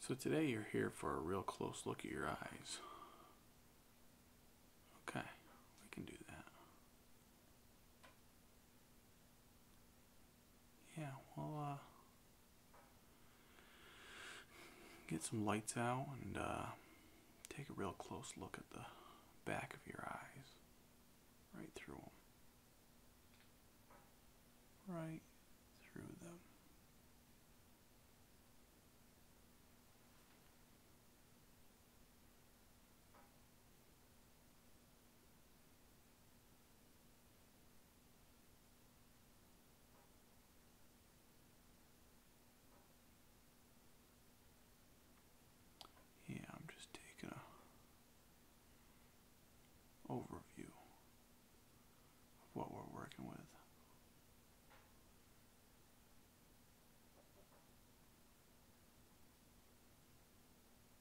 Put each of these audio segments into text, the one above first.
So today you're here for a real close look at your eyes. Okay, we can do that yeah, we'll uh, get some lights out and uh, take a real close look at the back of your eyes, right through them, right through them. Yeah, I'm just taking a overview of what we're working with.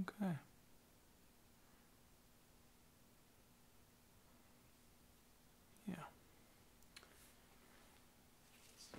Okay. Yeah. So.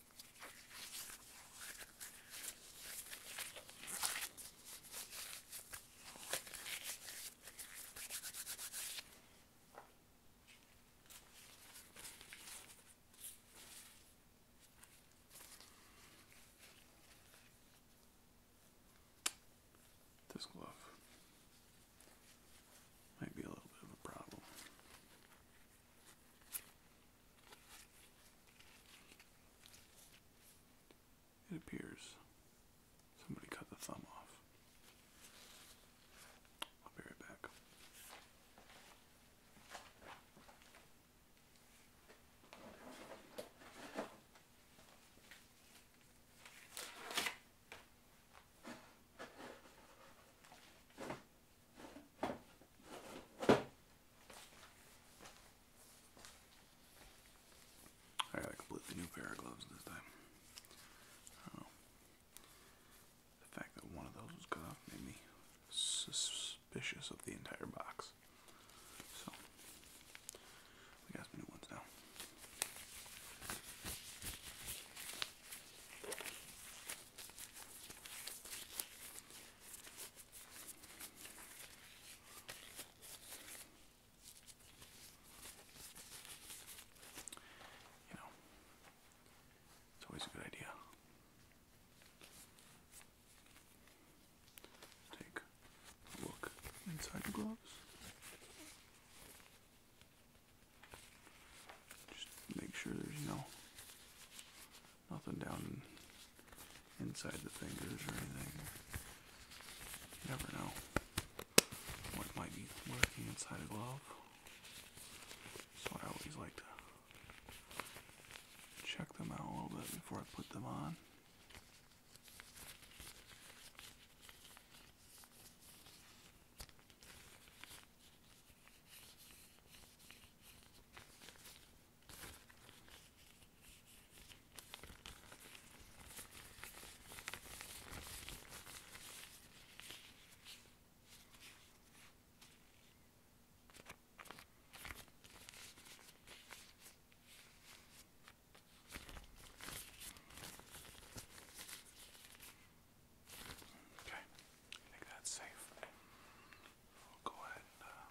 This glove might be a little bit of a problem. It appears somebody cut the thumb off. I'll be right back. I got a completely new pair of gloves this time. Oh. The fact that one of those was cut off made me suspicious of the entire box. So, we got some new ones now. You know, it's always a good idea. Take a look inside the gloves. Just make sure there's no Nothing down inside the fingers or anything. never know what might be lurking inside a glove. So I always like to check them out a little bit before I put them on. Okay, I think that's safe. We'll go ahead and uh,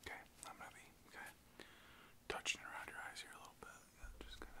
Okay, I'm gonna be okay. Touching around your eyes here a little bit. Yeah, just gonna. Just grab my.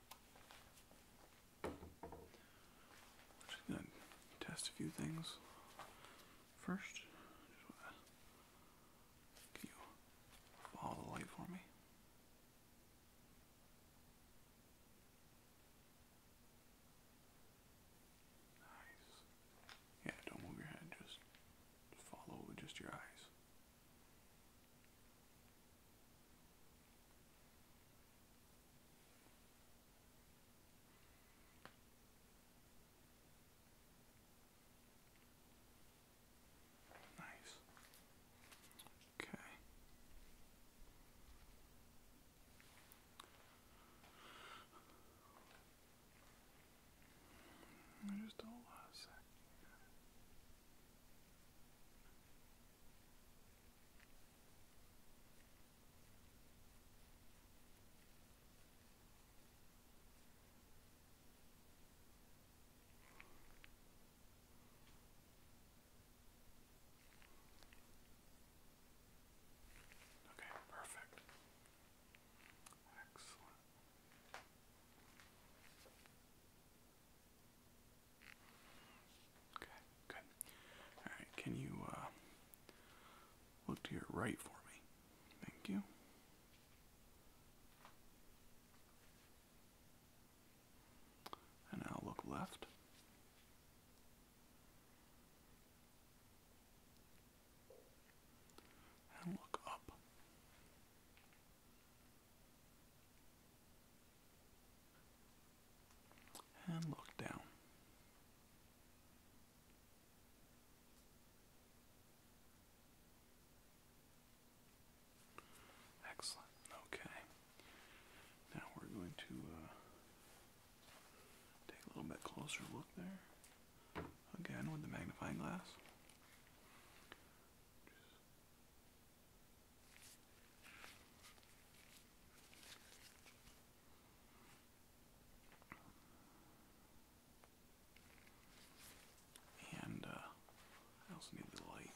We're just gonna test a few things first. follow the light for me? Nice. Yeah, don't move your head, just follow with just your eyes. Nice. Okay. just don't want Okay, perfect. Excellent. Okay, good. All right, can you uh, look to your right for me? Thank you. And now look left. And look up and look down. Excellent. Okay. Now we're going to uh, take a little bit closer look there. Again with the magnifying glass. And uh, I also need the light.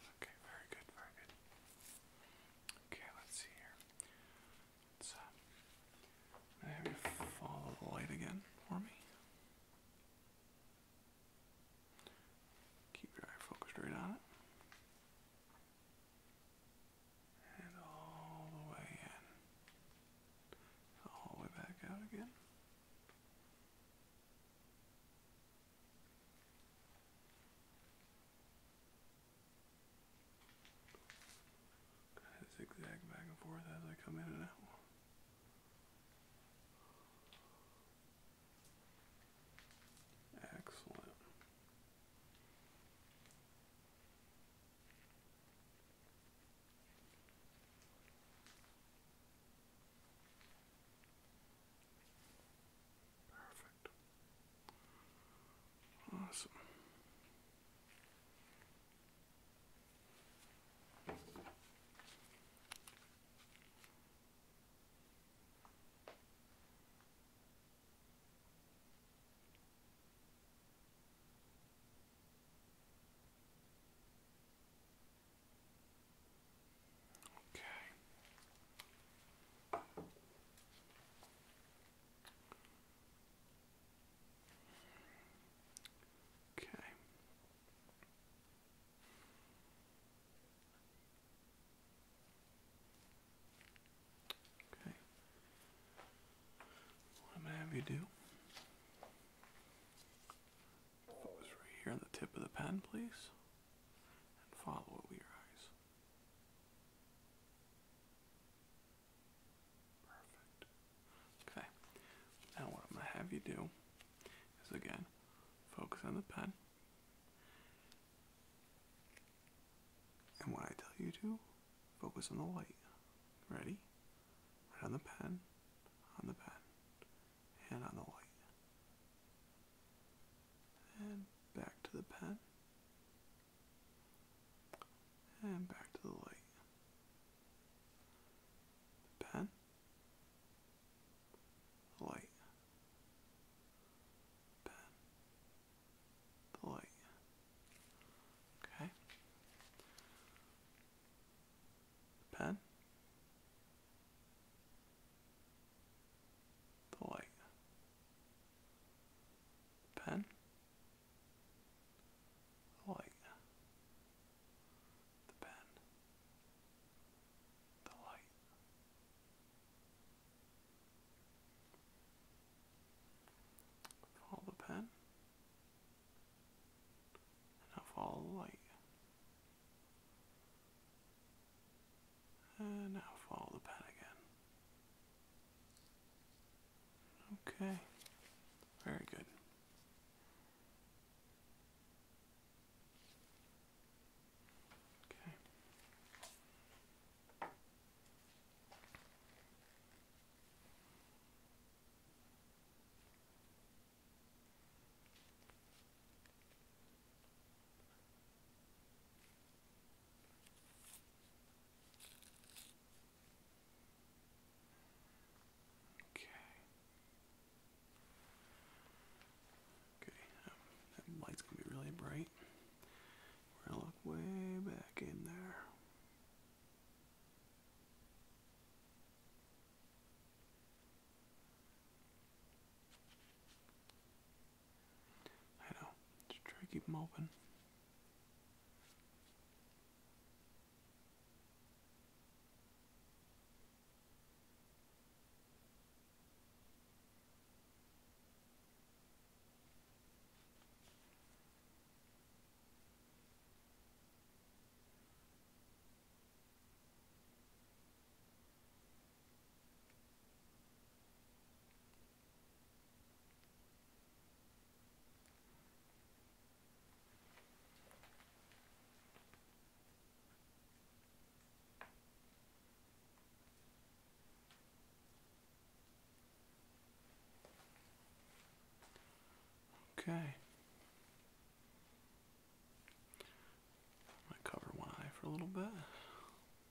Okay, very good, very good. Okay, let's see here. Let's uh, follow the light again for me. Keep your eye focused right on it. And all the way in. All the way back out again zigzag back and forth as I come in and out. Excellent. Perfect. Awesome. Okay. Okay. Okay. What am going have you do? Focus right here on the tip of the pen, please, and follow it with your eyes. Perfect. Okay. Now what I'm gonna have you do is again focus on the pen. And what I tell you to, focus on the light. Ready? Right on the pen, on the pen, and on the light and back to the pen and back to the light. pen, light, pen, light. Okay. pen, the light. Pen. light. The pen. The light. Follow the pen. And now the light. And uh, now follow the pen again. Okay, very good. Okay. Okay. Okay, um, that light's gonna be really bright. We're gonna look way back in there. I know. Just try to keep them open. Okay. I cover one eye for a little bit.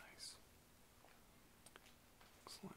Nice. Excellent.